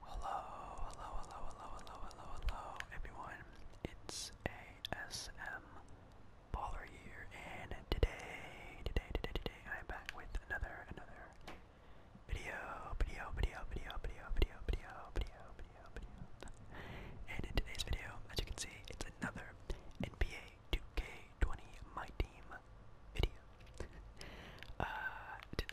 Hello, hello, hello, hello, hello, hello, hello, everyone. It's ASM Baller here, and today, today, today, today, I'm back with another, another video, video, video, video, video, video, video, video, video, And in today's video, as you can see, it's another NBA 2K20 My Team video uh,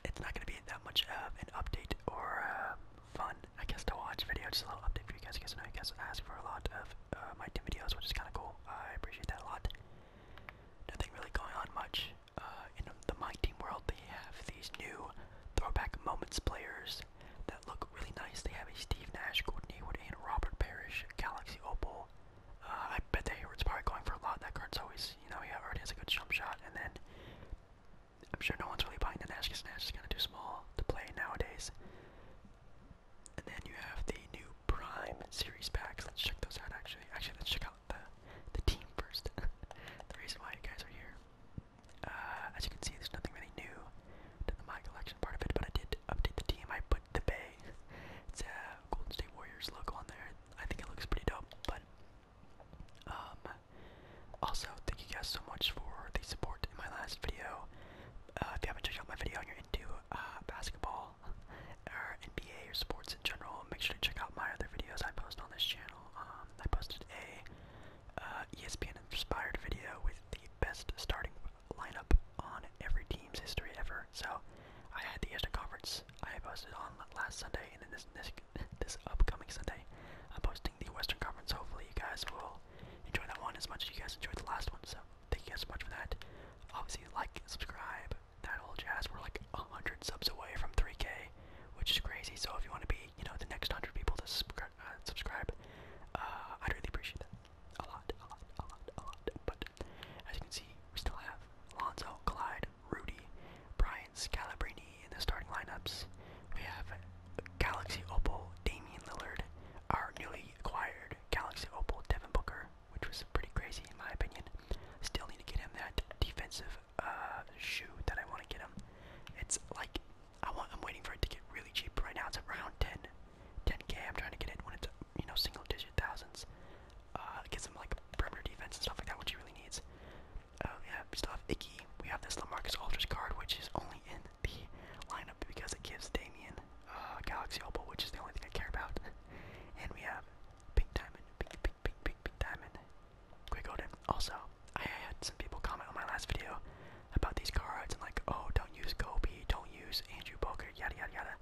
it's not going to be that much of an update or uh, fun, I guess, to watch video. Just a little update for you guys. You I know you guys ask for a lot of uh, my team videos, which is kind of cool. I appreciate that a lot. Nothing really going on much uh, in the my team world. They have these new throwback moments players that look really nice. They have a Steve Nash, Gordon Hayward, and Robert Parrish Galaxy Opal. Uh, I bet the Hayward's probably going for a lot. That card's always you know he already has a good jump shot, and then I'm sure no one's really buying the Nash because Nash is kind of too small to play nowadays. And then you have the new Prime series packs. Let's check those out. Actually, actually, let's check out the the team first. the reason why you guys are here. Uh, as you can see, there's nothing really new to the my collection part of it, but I did update the team. I put the Bay. It's a uh, Golden State Warriors logo on there. I think it looks pretty dope, but um, also, thank you guys so much for the support in my last video. Uh, if you haven't checked out my video and you're into uh, basketball or NBA or sports in general, make sure to check out my other videos I post on this channel. Um, I posted a uh, ESPN-inspired video with the best starting lineup on every team's history ever. So I had the Eastern Conference I posted on last Sunday, and then this, this upcoming Sunday, I'm posting the Western Conference. Hopefully, you guys will enjoy that one as much as you guys enjoyed the last one. So thank you guys so much for that. Obviously, like, subscribe, that whole jazz. We're like 100 subs away from 3K, which is crazy. So if you want to be, you know, the next 100 people to uh, subscribe, subscribe uh, I'd really appreciate that. A lot, a lot, a lot, a lot. But as you can see, we still have Alonzo, Clyde, Rudy, Brian Scalabrine in the starting lineups. We have Galaxy Opal, Damian Lillard, our newly acquired Galaxy Opal, Devin Booker, which was pretty crazy in my opinion. Still need to get him that defensive uh, shoe that I want to get him. It's like I want. I'm waiting for it to get really cheap. Right now it's around 10, 10k. I'm trying to get it when it's you know single digit thousands uh, get some like perimeter defense and stuff like that, which he really needs. Uh, yeah, we still have Icky. We have this Lamarcus Aldridge card, which is only in the lineup because it gives Damien a uh, Galaxy Opal, which is the only thing I care about. and we have big Diamond, Pink, big big big Pink Diamond, Quick Odin. Also, I had some people comment on my last video about these cards and like, oh, don't use Kobe, don't use Andrew Boker, yada yada yada.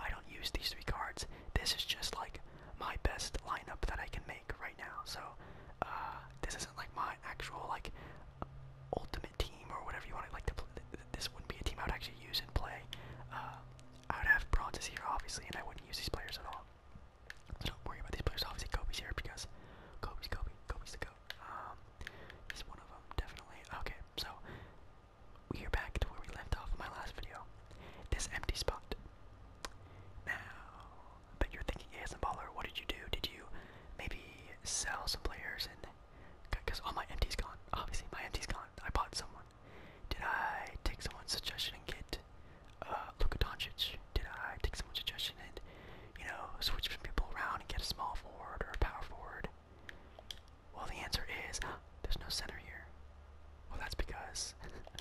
I don't use these three cards. This is just like my best lineup that I can make right now. So uh, this isn't like my actual like ultimate team or whatever you want to like to play. This wouldn't be a team I would actually use and play. Uh, I would have Bronzes here obviously, and I wouldn't use these players at all. So don't worry about these players. Obviously, Kobe's here because Kobe's Kobe. Kobe's the goat. Um, he's one of them, definitely. Okay, so we are back to where we left off in my last video. This empty spot. Now, but you're thinking, hey, baller, what did you do? Did you maybe sell some players and because all my empty's gone. Obviously, my empty's gone. I bought someone. Did I take someone's suggestion and get uh, Luka Doncic? Did I take someone's suggestion and, you know, switch some people around and get a small forward or a power forward? Well, the answer is there's no center here. Well, that's because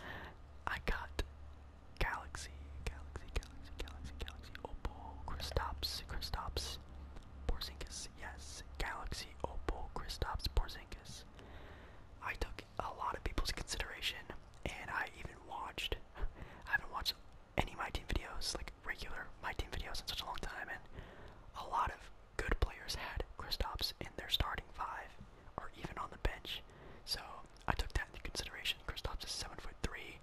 I got Galaxy, Galaxy, Galaxy, Galaxy, Galaxy, Opal, Kristaps, Kristaps, Porzingis. Yes, Galaxy, Opal, Kristaps, Porzingis. I took a lot of people's consideration, and I even watched. I haven't watched any of my team videos, like regular my team videos, in such a long time, and a lot of good players had Kristaps in their starting five or even on the bench. So I took that into consideration. Kristaps is seven foot three.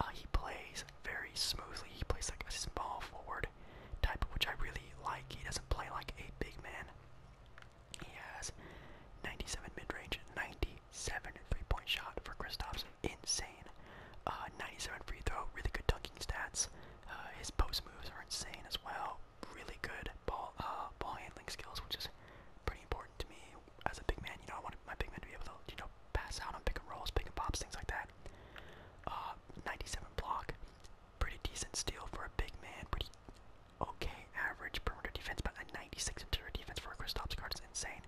Uh, he plays very smoothly. He plays like a small forward type, which I really like. He doesn't play like a big man. He has 97 mid-range, 97 three-point shot for Kristaps, insane. Uh, 97 free throw, really good dunking stats. Uh, his post moves are insane as well really good ball uh, ball handling skills, which is pretty important to me as a big man. You know, I want my big man to be able to you know pass out on pick and rolls, pick and pops, things like that. Uh, 97 block, pretty decent steal for a big man. Pretty okay average perimeter defense, but a 96 interior defense for Chris Kristaps is insane.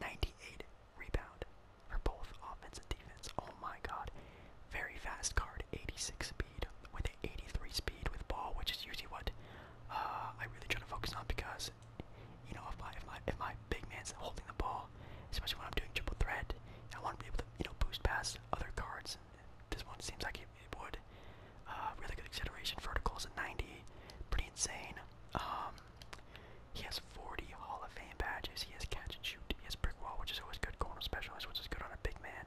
98 rebound for both offense and defense. Oh my god. Very fast card, 86 speed with 83 speed with ball, which is usually what uh, I really try to focus on because you know if my if my if my big man's holding the ball, especially when I'm doing triple threat, I want to be able to you know boost past other cards. This one seems like it, would. Uh, really good acceleration, verticals at 90, pretty insane. Um, he has 40 Hall of Fame badges. He has catch and shoot shoot brick wall, which is always good. Corner specialist, which is good on a big man.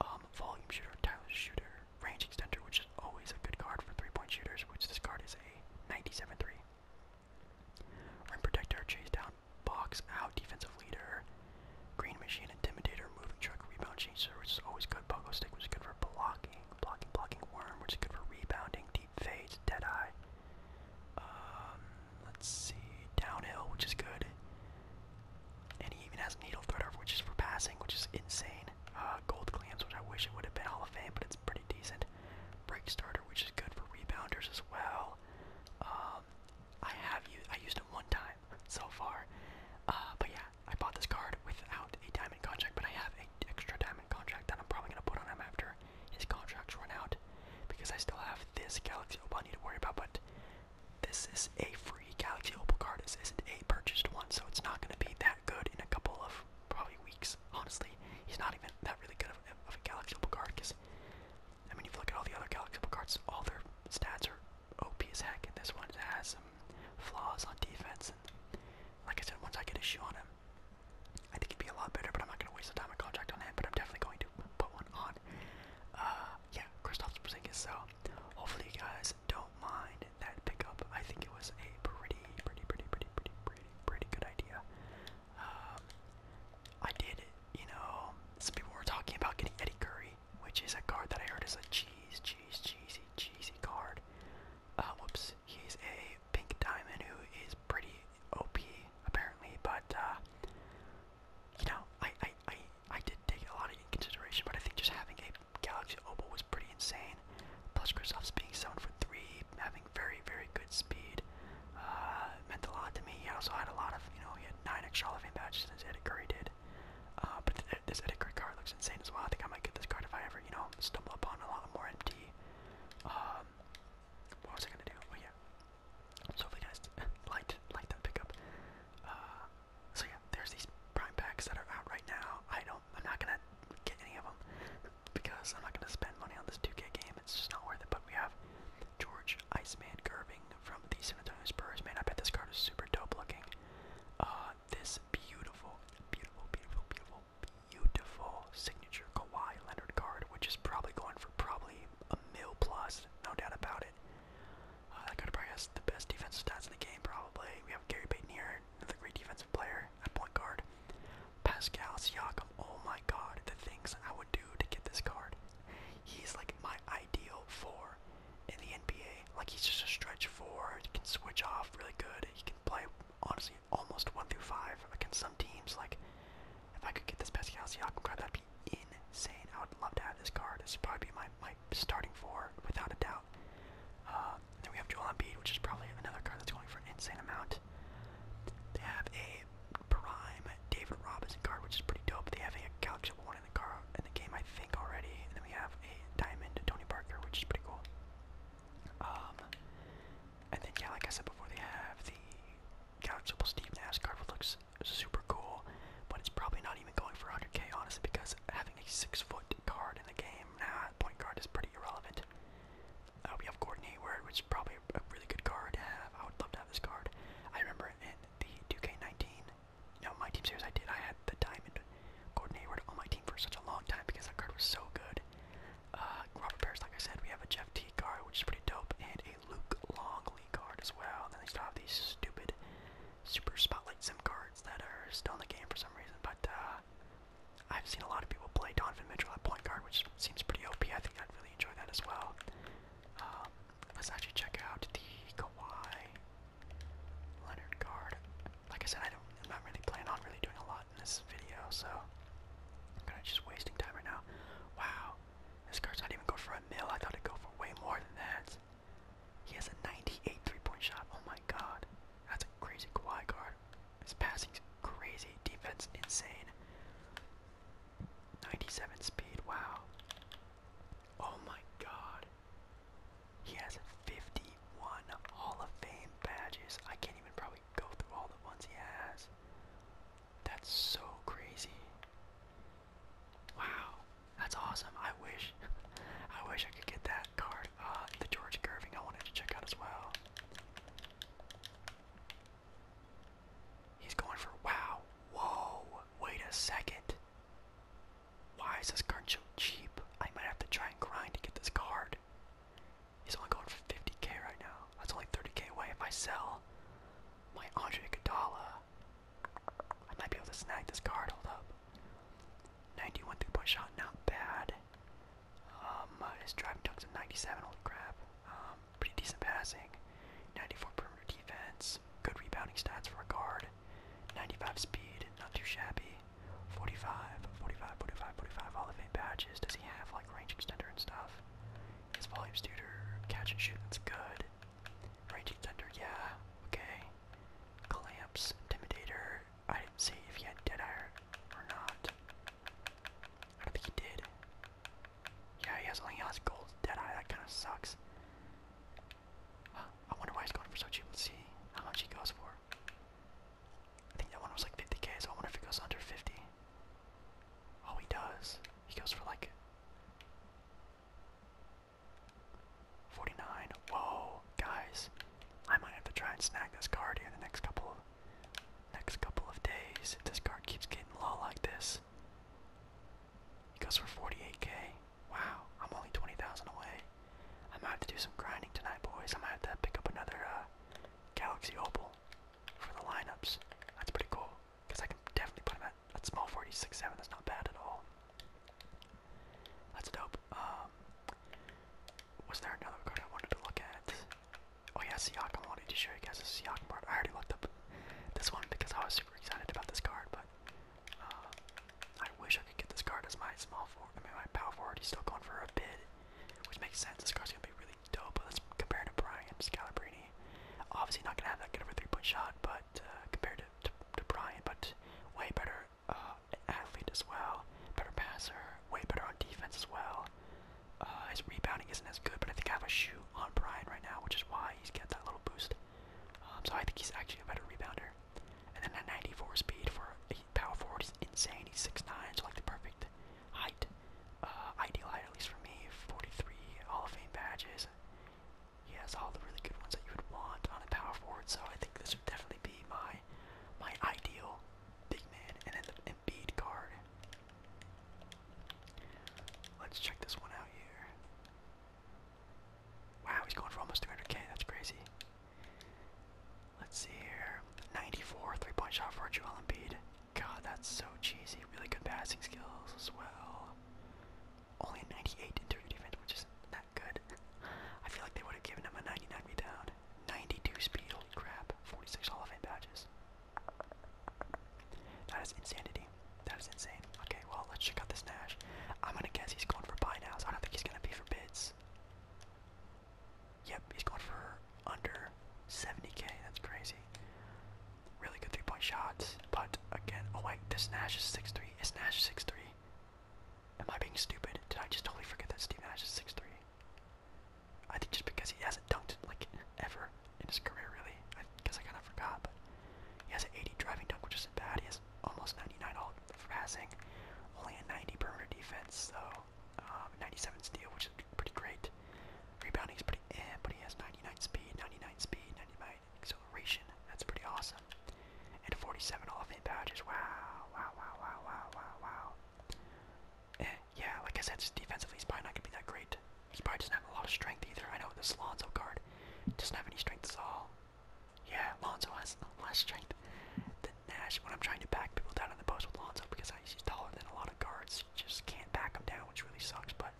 Um, volume shooter, tireless shooter, range extender, which is always a good card for three-point shooters. Which this card is a 97-3. Rim protector, chase down, box out, defensive leader, green machine, intimidator, moving truck, rebound chaser, which is always good. Pogo stick, which is good for blocking, blocking, blocking worm, which is good for rebounding, deep fades, dead eye. Um, Let's see. Downhill, which is good. And he even has needle threader, which is for passing, which is insane. Uh, gold clams, which I wish it would have been Hall of Fame, but it's pretty decent. Break starter, which is good for rebounders as well. Um, I have used I used him one time so far. Uh, but yeah, I bought this card without a diamond contract, but I have an extra diamond contract that I'm probably gonna put on him after his contracts run out, because I still have this Galaxy Opal I need to worry about, but this is a free Galaxy Opal card. This isn't a purchased one, so it's not going to be that good in a couple of probably weeks. Honestly, he's not even that really good of, a Galaxy Opal card because, I mean, if you look at all the other Galaxy Opal cards, all their stats are OP as heck, and this one has some flaws on defense. And like I said, once I get a shoe on him, I think he'd be a lot better, but I'm not going to waste the time on contract on him, but I'm definitely going to to put one on. Uh, yeah, Kristaps Porzingis. So hopefully you guys don't mind that pickup. I think it was a pretty, pretty, pretty, pretty, pretty, pretty, good idea. Um, I did, you know, some people were talking about getting Eddie Curry, which is a card that I heard is a cheese, cheese, cheesy, cheesy card. Uh, whoops, he's a pink diamond who is pretty OP apparently, but uh, you know, I, I, I, I did take a lot of in consideration, but I think just having a Galaxy Opal was pretty insane. Plus, Kristoff's being seven for three, having very, very good speed, uh, meant a lot to me. He also had a lot of, you know, he had nine extra Hall of Fame badges as Eddie Curry did. Uh, but th this Eddie Curry card looks insane as well. I think I might get this card if I ever, you know, stumble upon a lot more empty. Um, what was I gonna do? Oh yeah, so if you guys light, like that pickup, uh, so yeah, there's these prime packs that are out right now. I don't, I'm not gonna get any of them because I'm not gonna spend money on this 2K game. It's just not worth it. But we have George Iceman Gerving from the San Antonio Spurs. Man, I bet this card is super dope looking. Uh, this beautiful, beautiful, beautiful, beautiful, beautiful signature Kawhi Leonard card, which is probably going for probably a mil plus, no doubt about it. Uh, that guy probably has the best defensive stats in the game, probably. We have Gary Payton here, another great defensive player at point guard. Pascal Siakam, oh my god, the things I would do to get this card. He's like my ideal four in the NBA. Like he's just a stretch four, he can switch off really good. He can play honestly almost one through five against some teams. Like if I could get this Pascal Siakam card, that would be insane. I would love to have this card. This would probably be my, my starting four, without a doubt. Uh, then we have Joel Embiid, which is probably another card that's going for an insane amount. They have a prime David Robinson card, which is pretty dope. They have a Galaxy one in the car in the game, I think already. And then we have a diamond Tony Parker, which is pretty cool. Um, and then yeah, like I said before, they have the Couchable Steve Nash card looks super cool, but it's probably not even going for 100k honestly because having a six foot card in the game, nah, point guard is pretty irrelevant. Uh, we have Gordon Hayward, which is probably a really good card to have. I would love to have this card. I remember in the Duke k 19 no, my team series I did, I had the diamond Gordon Hayward on my team for such a long time because that card was so good. Uh, Robert Paris, like I said, we have a Jeff T card, which is pretty dope, and a Luke Longley card as well. Then they still have these stupid super spotlight sim cards that are still in the game for some reason. But uh, I've seen a lot of people play Donovan Mitchell at point guard, which seems pretty OP. I think I'd really enjoy that as well. Um, let's actually check out the Kawhi Leonard card. Like I said, I don't, I'm not really planning on really doing a lot in this video, so I'm kind of just wasting time right now. Wow, this card's not even go for a mil. I thought it'd go for way more than that. He has a 98 three-point shot. Oh my god. That's a crazy Kawhi card. His passing's crazy. Defense insane. 97 speed. Wow. Oh my god. He has 51 Hall of Fame badges. I can't even probably go through all the ones he has. That's so crazy. Wow, that's awesome. I wish, I wish I could get that card. Uh, the George Curving I wanted to check out as well. He's going for wow. Whoa, wait a second. Why is this card so cheap? I might have to try and grind to get this card. He's only going for 50k right now. That's only 30k away. If I sell my Andre Iguodala, I might be able to snag this card. Hold up. 91 three-point shot, not bad. Um, his driving dunk's at 97. Holy crap. Um, pretty decent passing. 94 perimeter defense. Good rebounding stats for a guard. 95 speed, not too shabby. 45, 45, 45, 45 Hall of Fame badges. Does he have like range extender and stuff? His volume shooter, catch and shoot, that's good. Raging Thunder, yeah, okay. Clamps, Intimidator, I didn't see if he had Dead Ire or not. I don't think he did. Yeah, he has only has gold Dead Eye, that kind of sucks. I wonder why he's going for so cheap. Let's see how much he goes for. I think that one was like 50k, so I wonder if it goes under 50. Oh, he does. He goes for like 49. Whoa, guys. I might have to try and snag this card here in the next couple of next couple of days if this card keeps getting low like this. He goes for 48k. Wow, I'm only 20,000 away. I might have to do some grinding tonight, boys. I might have to pick up another uh, Galaxy Opal for the lineups. That's pretty cool because I can definitely put him at, small 46 7. That's not bad at all. That's dope. Um, was there another card I wanted to look at? Oh yeah, Siakam. I wanted to show you guys a Siakam card. I already looked up this one because I was super excited about this card, but uh, I wish I could get this card as my small forward. I mean, my power forward. He's still going for a bid, which makes sense. This card's gonna be really dope. Let's compare to Bryant Scalabrini. Obviously not gonna have that good of a three-point shot, but uh, compared to, to to but way better uh, athlete as well. Better passer, way better on defense as well. Uh, his rebounding isn't as good, but I think I have a shoe on Brian right now, which is why he's got that little boost. Um, so I think he's actually a better rebounder. And then that 94 speed for a power forward is insane. He's 6'9", so like the perfect height. Uh, ideal height, at least for me, 43 Hall of Fame badges. He has all the really good ones that you would want on a power forward, so I think this would definitely be my my ideal big man. And then the Embiid card. Let's check this one out here. Wow, he's going for almost 300k. That's crazy. Let's see here. 94 three-point shot for Joel Embiid. God, that's so cheesy. Really good passing skills as well. Only 98 interior defense, which isn't good. I feel like they would have given him a 99 rebound. 92 speed, holy crap. 46 Hall of Fame badges. That is insanity. That is insane. Okay, well, let's check out this Nash. I'm gonna guess he's going for buy now, so I don't think he's gonna be for bids. Yep, he's going for under 70k. That's crazy. Really good three-point shots, but again, oh wait, this Nash is six three. Is Nash six three? Am I being stupid? Did I just totally forget that Steve Nash is six three? I think just because he hasn't dunked like ever in his career, really. I guess I kind of forgot, but he has an 80 driving dunk, which isn't bad. He has almost 99 all for passing, only a 90 perimeter defense, so um, 97 steal, which is pretty great. Rebounding is pretty eh, but he has 99 speed, 99 speed, 99 acceleration. That's pretty awesome. And 47 all of badges. Wow, wow, wow, wow, wow, wow, wow. Eh, yeah, like I said, just defensively, he's probably not going to be that great. He probably doesn't have a lot of strength either. I know this Lonzo card doesn't have any strength at all. Yeah, Lonzo has less strength than Nash. When I'm trying to back people down in the post with Lonzo because he's taller than a lot of lot just can't back them down, which really sucks, but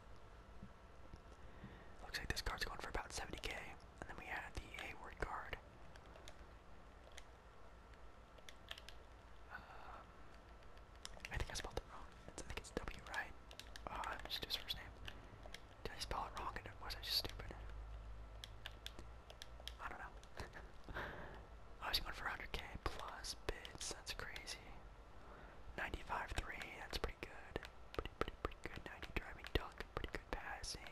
looks like this card's going for about 70k. And then we had the A word card. Um, I think I spelled it wrong. I think it's W, right? I'm uh, just his first name. Did I spell it wrong was I just stupid? I don't know. I was going for 100k plus bids. That's crazy. 95 3. That's pretty good. Pretty pretty pretty good. 90 driving dunk. Pretty good passing.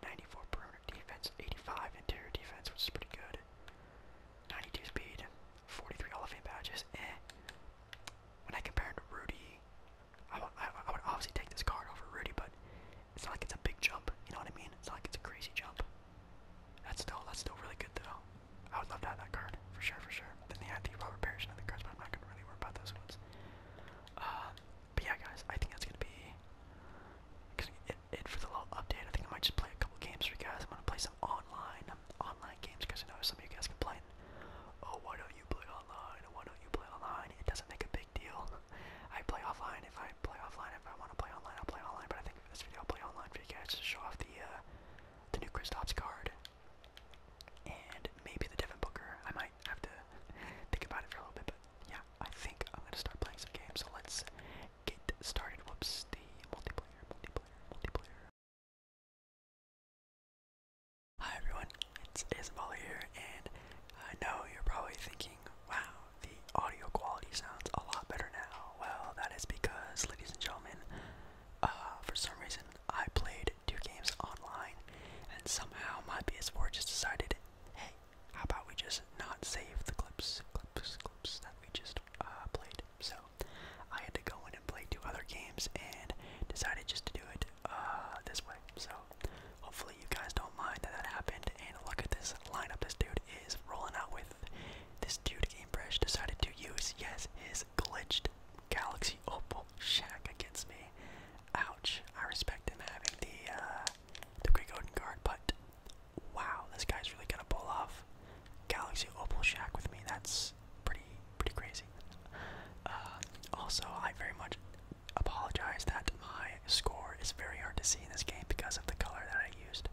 94 perimeter defense. 85 interior defense, which is pretty good. 92 speed. 43 Hall of Fame badges. Eh. When I compare him to Rudy, I, I, I would obviously take this card over Rudy, but it's not like it's a big jump. You know what I mean? It's not like it's a crazy jump. That's still that's still really good though. I would love to have that card for sure, for sure. Then they had the Robert Parrish and other cards, but I'm not gonna really worry about those ones. Uh, but yeah, guys, I think that's gonna be it, for the little update. I think I might just play a couple games for you guys. I'm gonna play some online online games because I know some of you guys complain. Oh, why don't you play online? Why don't you play online? It doesn't make a big deal. I play offline if I play offline. If I want to play online, i play online. But I think this video I'll play online for you guys to show off the uh, the new Kristaps card and maybe the Devin Booker. I might have to think about it for a little bit, but yeah, I think I'm gonna start playing some games. So let's get started. Whoops, the multiplayer, multiplayer, multiplayer. Hi everyone, it's Isabella here, and I know you're probably thinking, wow, the audio quality sounds a lot better now. Well, that is because, ladies and gentlemen, uh, for some reason I played two games online, and somehow my PS4 just decided, hey, how about we just not save the clips, clips, clips that we just uh, played. So I had to go in and play two other games and decided just to do it uh, this way. So hopefully you guys don't mind that that happened. And look at this lineup this dude is rolling out with. This dude, Gamebresh, decided to use, yes, his glitched Galaxy Opal Shack against me. Ouch. I respect him having the, uh, the Greek Odin card, but wow, this guy's really gonna pull off Galaxy Opal Shack with me. That's pretty, pretty crazy. Uh, also, I very much apologize that my score is very hard to see in this game because of the color that I used.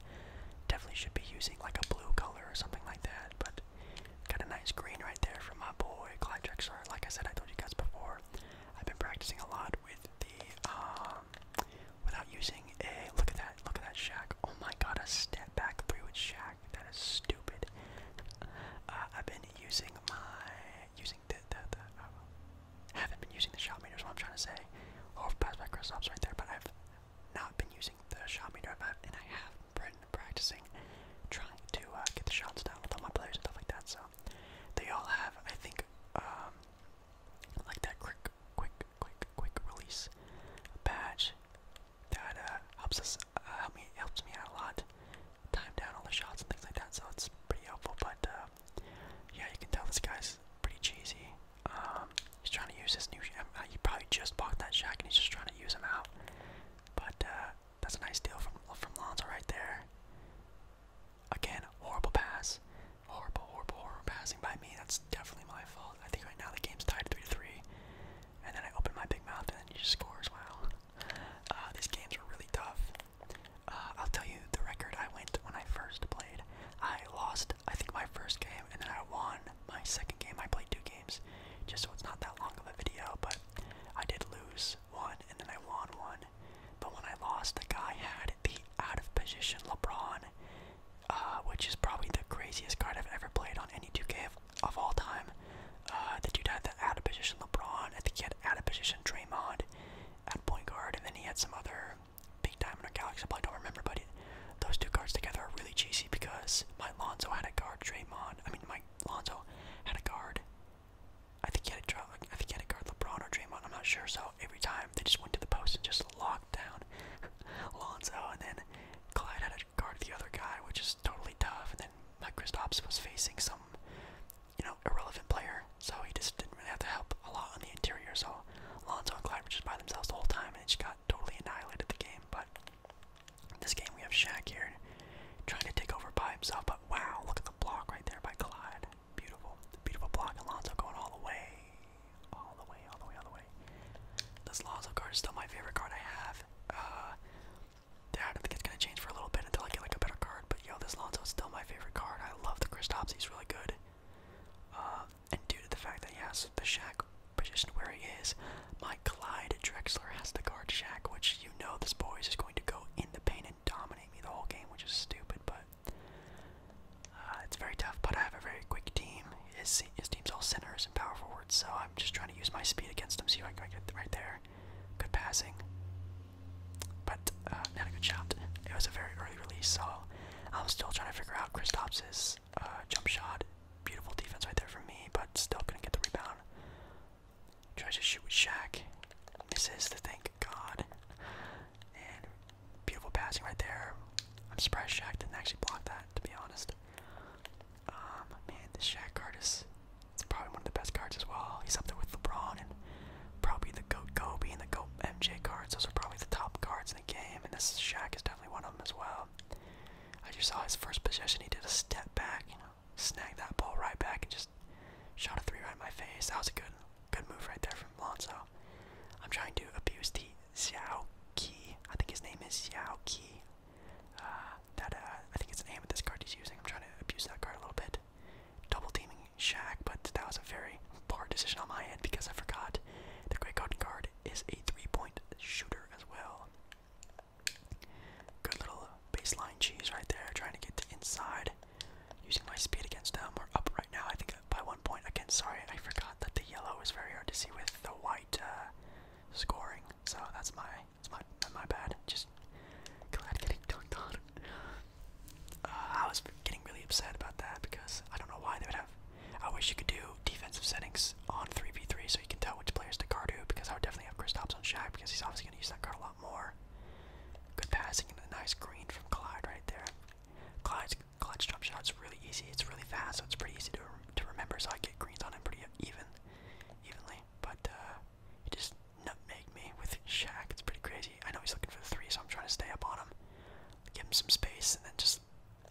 Definitely should be using like a blue color or something like that, but got a nice green right there from my boy Clyde Drexler. Like I said, I told you guys before, I've been practicing a lot with the um without using a look at that, look at that Shaq. Oh my god, a step back three with Shaq. That is stupid. Uh, I've been using my using the the, the uh, haven't been using the shot meter is what I'm trying to say. Or pass by Kristaps right there, but I've not been using the shot meter, and I have been practicing trying to uh, get the shots down with all my players and stuff like that. So they all have, I think, um, like that quick, quick, quick, quick release badge that uh, helps us, uh, help me, helps me out a lot, time down all the shots and things like that. So it's pretty helpful. But yeah, you can tell this guy's pretty cheesy. Um, he's trying to use his new. Um, uh, he probably just bought that shack and he's just trying to use him out. But uh, that's a nice deal from from Lonzo right there. Again, horrible pass, horrible, horrible, horrible passing by me. That's definitely my fault. I think right now the game's tied three to three, and then I open my big mouth and then he just scores. Wow, uh, these games are really tough. Uh, I'll tell you the record I went when I first played. I lost, I think, my first game, and then I won my second game. I played two games, just so it's not that long of a video, but I did lose one, and then I won one. But when I lost, the guy had the out of position LeBron, uh, which is probably the craziest card I've ever played on any 2K of, of all time. Uh, the dude had the out of position LeBron, I think he had out of position Draymond at point guard, and then he had some other big time in our I don't remember, but those two cards together are really cheesy because my Lonzo had a guard, Draymond. I mean, my Lonzo had a guard. I think he had a draw. I think he had a guard, LeBron or Draymond. I'm not sure. So every time they just went to the post and just locked down Lonzo, and then Clyde had to guard the other guy, which is totally tough. And then my Kristaps was facing some you know, irrelevant player, so he just didn't really have to help a lot on the interior. So Lonzo and Clyde were just by themselves the whole time, and it just got totally annihilated the game. But this game we have Shaq here trying to take over by himself. But wow, look at the block right there by Clyde. Beautiful, beautiful block. And Lonzo going all the way, all the way, all the way, all the way. This Lonzo card is still my favorite card I have. Uh, I don't think it's gonna change for a little bit until I get like a better card. But yo, this Lonzo is still my favorite card. I love the Kristaps. He's really good. Uh, and due to the fact that he has the Shack positioned where he is, my Clyde Drexler has the guard Shack, which you know this boy is just going to go in the paint and dominate me the whole game, which is stupid, but uh, it's very tough. But I have a very quick team. His, his team's all centers and power forwards, so I'm just trying to use my speed against him. See if I can get right there. Good passing but uh, a good shot. It was a very early release, so I'm still trying to figure out Chris uh, jump shot. Beautiful defense right there for me, but still couldn't get the rebound. Tries to shoot with Shaq. Misses the thank God. And beautiful passing right there. I'm surprised Shaq didn't actually block that, to be honest. Um, man, this Shaq card is probably one of the best cards as well. He's up there with LeBron and probably the GOAT GO, and the GO MJ cards. Those are probably the top cards in the game, and this Shaq is definitely one of them as well. I just saw his first possession. He did a step back, you know, snagged that ball right back and just shot a three right in my face. That was a good, good move right there from Lonzo. I'm trying to abuse the Xiao Qi. I think his name is Xiao Qi. Uh, uh I think it's the name of this card he's using. I'm trying to abuse that card a little bit. Double teaming Shaq, but that was a very poor decision on my end because I forgot the Great Golden Guard is a three-point shooter as well. Good little baseline cheese right there, trying to get to inside, using my speed against them. We're up right now, I think by one point. Again, sorry, I forgot that the yellow is very hard to see with the white uh, scoring. So that's my, that's my, that's my bad. Just uh, I was getting really upset about that because I don't know why they would have. I wish you could do defensive settings on 3v3 so you can tell which players to guard who because I would definitely have Kristaps on Shaq because he's obviously going to use that card a lot more. Good passing and a nice green from Clyde right there. Clyde's, Clyde's jump shot's really easy. It's really fast, so it's pretty easy to, to remember. So I get greens on him pretty even, evenly. But uh, just nutmeg me with Shaq. It's pretty crazy. I know he's looking for the three, so I'm trying to stay up on him, give him some space, and then just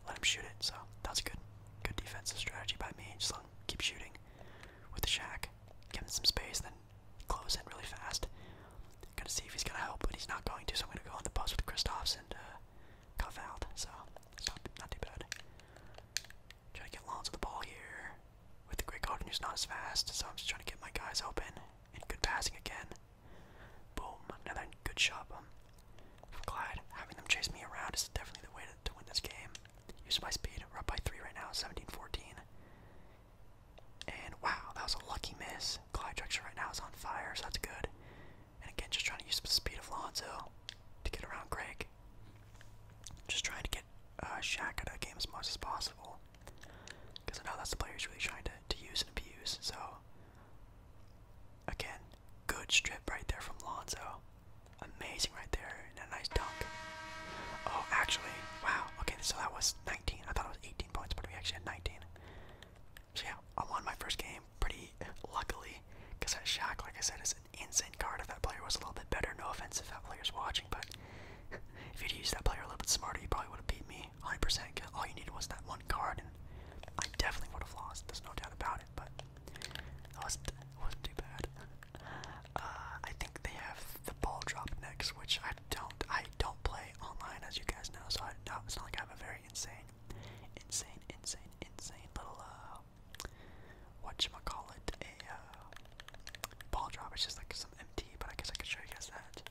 let him shoot it. So that's good, good defensive strategy by me. Just keep shooting with the Shack, give him some space, then close in really fast. Gonna see if he's gonna help, but he's not going to. So I'm gonna go on the bus with Kristaps and cuff uh, out. So not too bad. Try to get Lonzo the ball here. With the Great Golden, who's not as fast, so I'm just trying to get my guys open. And good passing again. Boom, another good shot I'm glad having them chase me around is definitely the way to, win this game. Use my speed, up by 3 right now, 17-14. And wow, that was a lucky miss. Clyde Drexler right now is on fire, so that's good. And again, just trying to use the speed of Lonzo to get around Greg. Just trying to get get uh, Shaq out of game as much as possible. Because I know that's the player he's really trying to, to use and abuse. So, again, good strip right there from Lonzo. Amazing right there, and a nice dunk. Oh, actually, wow. Okay, so that was 19. I thought it was 18 points, but we actually had 19. So yeah, I won my first game pretty luckily, because that Shaq, like I said, is an insane card. If that player was a little bit better, no offense if that player's watching, but if you'd used that player a little bit smarter, you probably would have beat me 100%. percent all you needed was that one card, and I definitely would have lost. There's no doubt about it. But that wasn't too bad. Uh, I think they have the ball drop next, which I don't. I don't play online, as you guys know. So I, no, it's not like I have a very insane, insane, insane, insane little uh, what call it? uh, ball drop. It's just like some empty, but I guess I can show you guys that.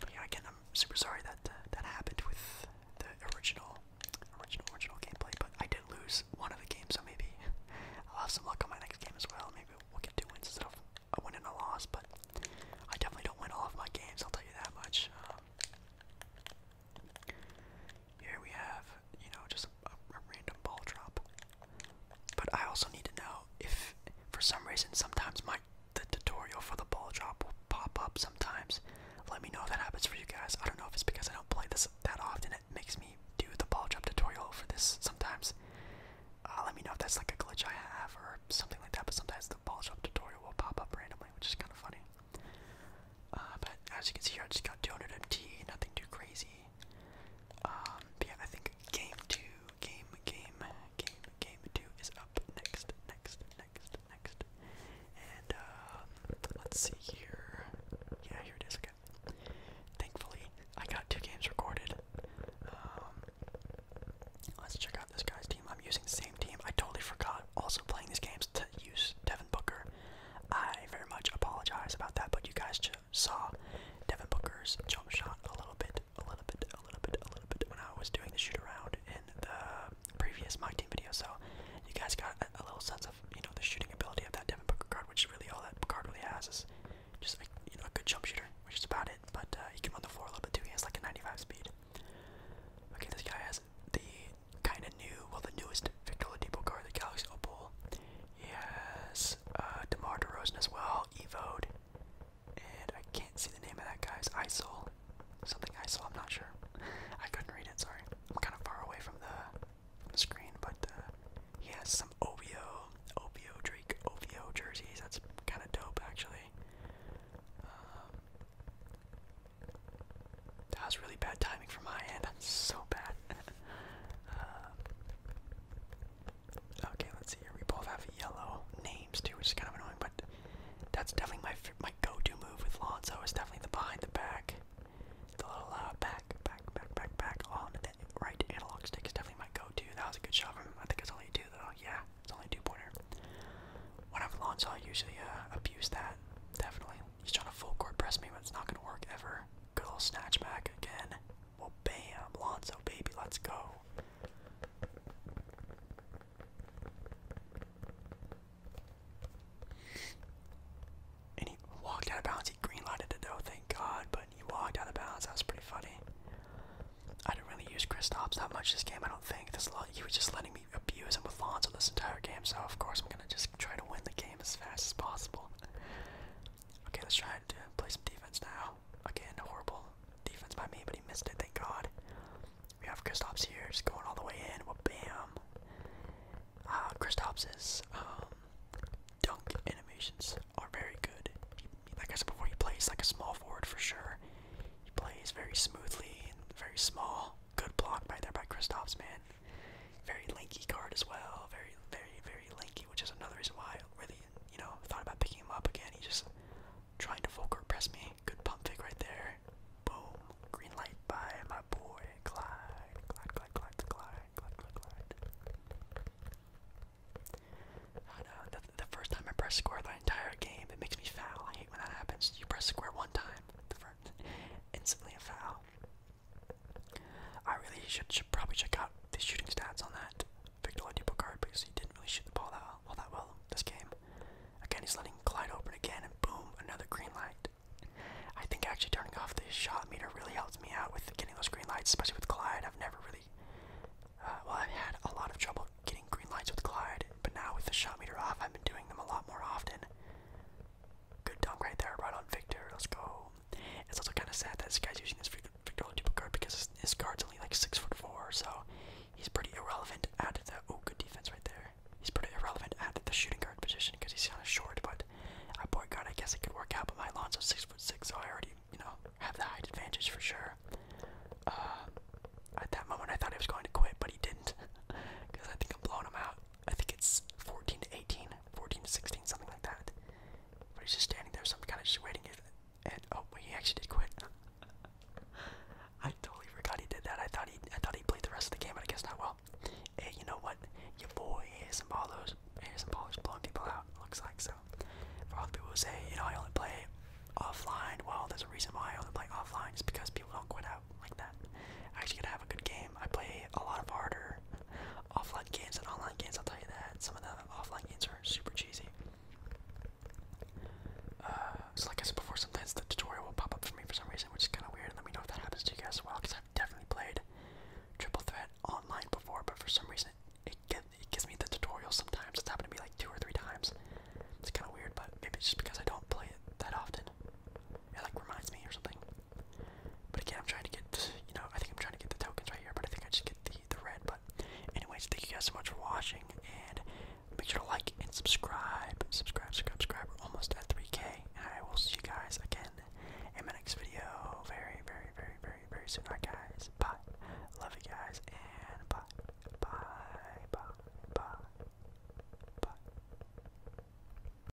But yeah, again, I'm super sorry that uh, that happened with the original, original, original gameplay. But I did lose one of the games, so maybe I'll have some luck on my next game as well. Maybe we'll get two wins instead of a win and a loss. But I definitely don't win all of my games. I'll tell you that much. Um, here we have, you know, just a, random ball drop. But I also need to know if, for some reason, sometimes my the tutorial for the ball drop will pop up sometimes. Let me know if that happens for you guys. I don't know if it's because I don't play this that often. It makes me do the ball drop tutorial for this sometimes. Uh, let me know if that's like a glitch I have or something like that. But sometimes the ball drop tutorial will pop up randomly, which is kind of funny. Uh, but as you can see here, I just got 200 MT, nothing too crazy. Um, yeah, I think game two, game, game, game, game two is up next, next, next, next. And um, let's see here. Yeah, here it is. Okay. Thankfully, I got two games recorded. Um, let's check out this guy's team. I'm using the same team. I totally forgot. Also playing these games to use Devin Booker. I very much apologize about that, but you guys should saw Devin Booker's jump shot a little bit, a little bit, a little bit, a little bit when I was doing the shoot around in the previous mock team video. So you guys got a, little sense of you know the shooting ability of that Devin Booker card, which really all that card really has is just a, you know a good jump shooter, which is about it. But uh, he can run the floor a little bit too. He has like a 95 speed. Okay, this guy has the kind of new, well the newest Victor Oladipo card, the Galaxy Opal. Yes, Giannis, uh, DeMar DeRozan as well, Evode, and I can't see the name of that guy's ISIL. Something ISIL, I'm not sure. I couldn't read it, sorry. I'm kind of far away from the, screen, but uh, he has some OVO, OVO Drake, OVO jerseys. That's kind of dope, actually. Um, that was really bad timing for my hand. That's so bad. Uh, Okay, let's see We both have yellow names too, which is kind of annoying, but that's definitely my my go-to move with Lonzo. It's definitely the behind the back, the little uh, back, back, back, back, back on the right analog stick is definitely my go-to. That was a good shot from him. I think it's only two though. Yeah, it's only two-pointer. When I've Lonzo, I usually uh, abuse that. Definitely, he's trying to full court press me, but it's not gonna work ever. Good old snatch back again. Well, bam, Lonzo, baby, let's go. And he walked out of bounds. He green lighted the though, thank God. But he walked out of bounds. That was pretty funny. I didn't really use Kristaps that much this game. I don't think. This He was just letting me abuse him with Lonzo this entire game. So of course I'm gonna just try to win the game as fast as possible. Okay, let's try to play some defense now. Again, horrible defense by me, but he missed it, thank God. We have Kristaps here, just going all the way in. Well, bam. Uh, Kristaps's um, dunk animations are very good. like I said before, he plays like a small forward for sure. He plays very smoothly and very small. Good block right there by Kristaps, man man. Very lanky card as well. Very, very, very lanky, which is another reason why I really, you know, thought about picking him up again. He just trying to full court press me. Good pump fake right there. Boom. Green light by my boy Clyde. Clyde, Clyde, Clyde, Clyde, Clyde, Clyde, Clyde. I know, uh, the, the first time I press square the entire game, it makes me foul. I hate when that happens. You press square one time, the first, instantly a foul. I really should, probably check out the shooting stats on that Victor Oladipo card because he didn't really shoot the ball that well, that well this game. Again, he's letting Clyde open again, and boom, another green light. I think actually turning off the shot meter really helps me out with getting those green lights, especially with Clyde. I've never really, uh, well, I've had a lot of trouble getting green lights with Clyde, but now with the shot meter off, I've been doing them a lot more often. Good dunk right there, right on Victor. Let's go. It's also kind of sad that this guy's using this Victor Oladipo card because his, his guard's only like six foot four, so he's pretty irrelevant at the oh good defense right there. He's pretty irrelevant at the shooting guard position because he's kind of short, but at point guard I guess it could work out. But my Alonso's six foot six, so I already you know have the height advantage for sure. Uh, at that moment I thought he was going to quit, but he didn't because I think I'm blowing him out. I think it's 14 to 18, 14 to 16, something like that. But he's just standing there, so I'm kind of just waiting. And oh, wait, he actually did quit. I totally forgot he did that. I thought he, I thought he played the rest of the game, but I guess not. Well, hey, you know what? Your boy is ASM Baller's, ASM Baller's blowing people out. Looks like so. For all the people who say, you know, I only play offline. Well, there's a reason why I only play offline. It's because people don't quit out like that. I actually gotta have a good game. I play a lot of harder, offline games and online games, I'll tell you that. Some of the offline games are super cheesy. Uh, so like I said before, sometimes the tutorial will pop up for me for some reason, which is kind of weird, and let me know if that happens to you guys as well, because I've definitely played Triple Threat online before, but for some reason, it, it gives me the tutorial sometimes. It's happened to me like two or three times. It's kind of weird, but maybe it's just because I don't play it that often. It like reminds me or something. But again, I'm trying to get, you know, I think I'm trying to get the tokens right here, but I think I just get the, the red. But anyways, thank you guys so much for watching, and make sure to like and subscribe. Subscribe, subscribe, subscribe. almost at 3K, and I will see you guys again in my next video very, very, very, very, very soon. guys, bye. Love you guys, and bye. Bye, bye, bye, bye.